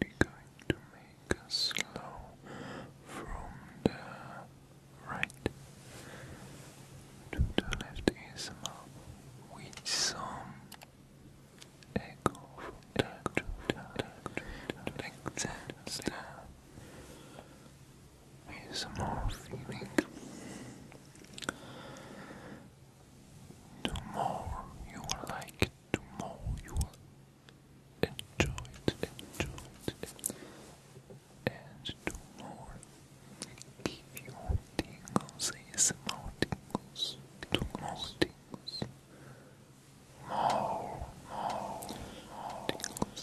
We're going to make a slow from the right to the left is with some echo from the left, like that, ASMR feeling the more you like it, more you will enjoy and the more give your tingles, ASMR tingles, the more tingles, more, more tingles.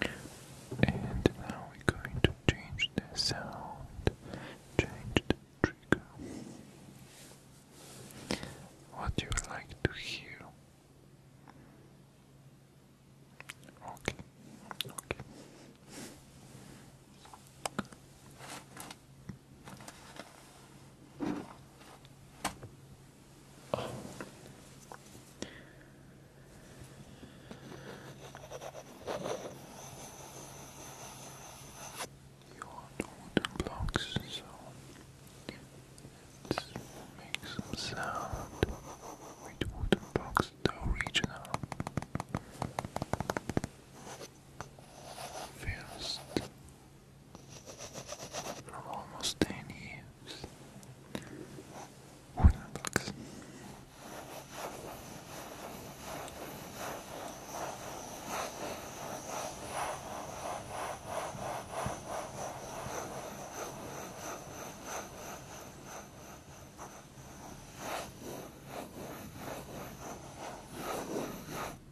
And now we're going to change the sound, change the trigger. What do you like to hear? Okay, okay. Oh. You wooden blocks, so it makes some sound with wooden blocks, though regional first for almost ten years.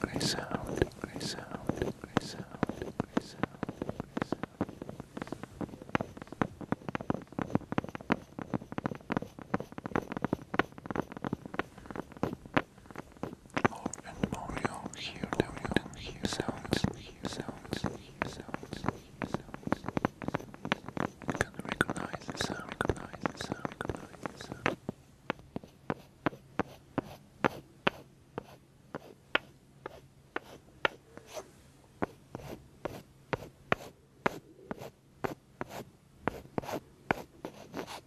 Great sound, great sound, great sound, great sound, great sound. More and more you hear sounds, You can recognize the sound.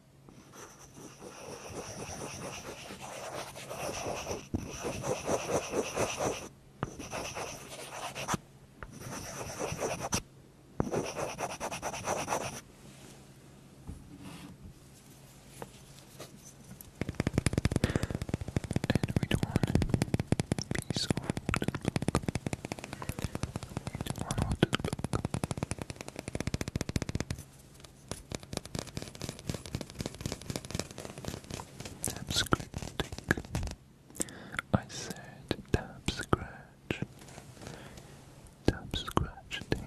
And we don't want to be so old and we don't want to look. Tap scratch. I said tap scratch. Tap scratch think.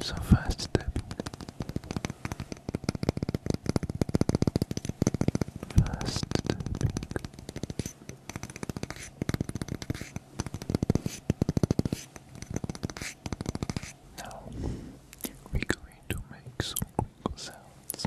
So fast step, fast stepping. Now we're going to make some sounds.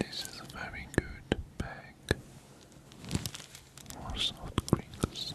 This is a very good bag for soft crinkles.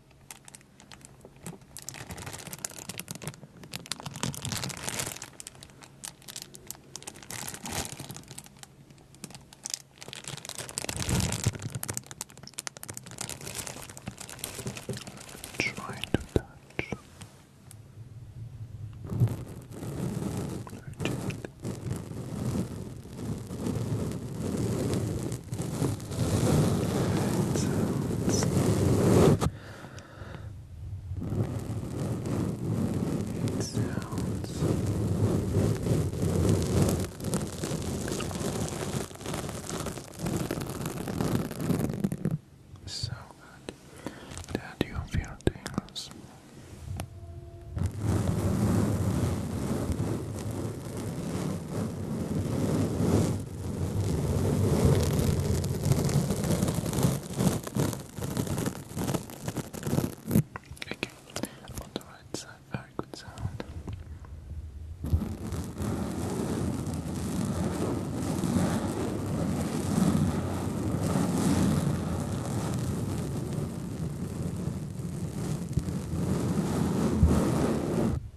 Try to touch. Very gently. Alright, sounds. It sounds. So good that you feel tingles. Good. Okay, on the right side, very good sound.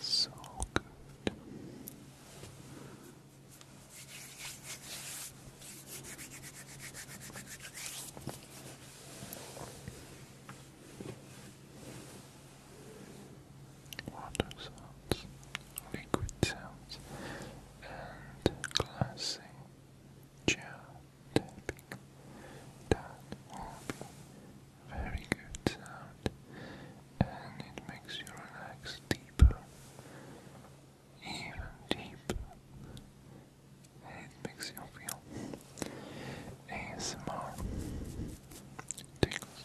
So Water sounds, liquid sounds, and classy jaw tapping. That very good sound and it makes you relax deeper, even deeper. it makes you feel ASMR tickles.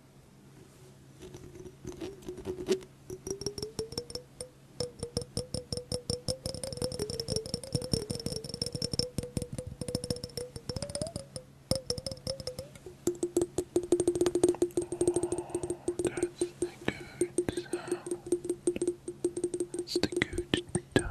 that's the good sound. That's the good tone.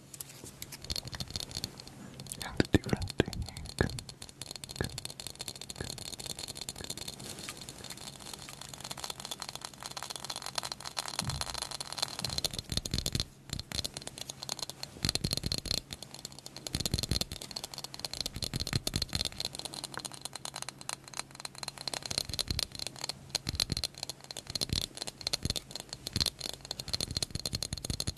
and different technique.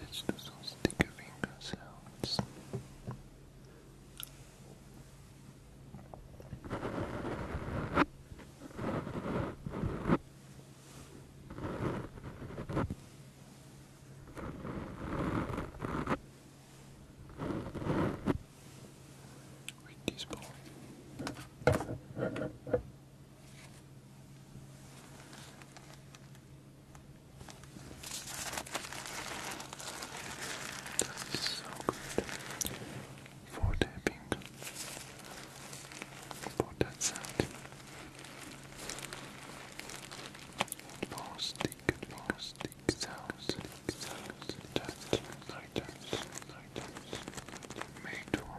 Let's do some sticky finger sounds. Good. Wheaties That's so good for tapping, for that sound. Pause the stick sounds, sounds, touch, lighters, lighters, made Thank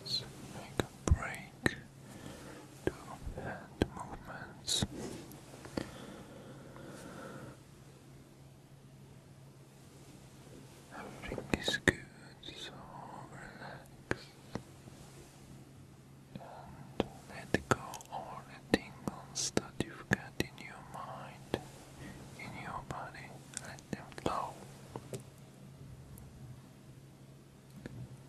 Let's make a break to hand movements. Everything is good, so relax and let go all the tingles that you've got in your mind, in your body, let them flow.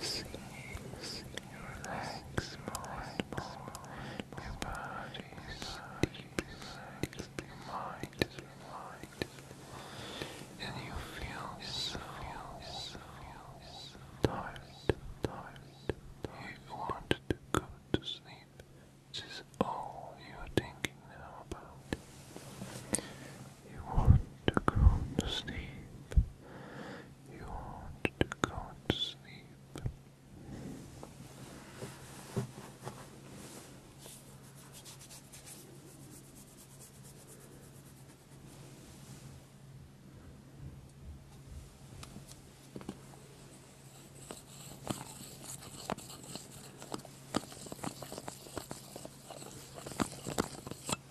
Easy, relax Your body is deeply your mind and you feel tired, you want to go to sleep. This is all you are thinking now about. You want to go to sleep. You want to go to sleep.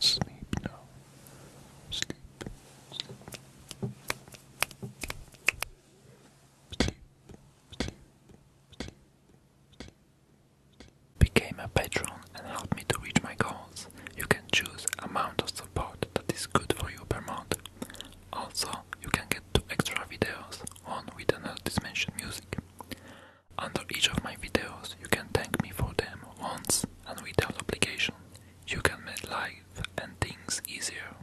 Sleep now. Sleep. Sleep. Sleep. Became a patron and help me to reach my goals. You can choose amount of support that is good for you per month. Also, you can get two extra videos, on with another dimension music. Under each of my videos, you can thank me for them once and without obligation. You can make life and things easier.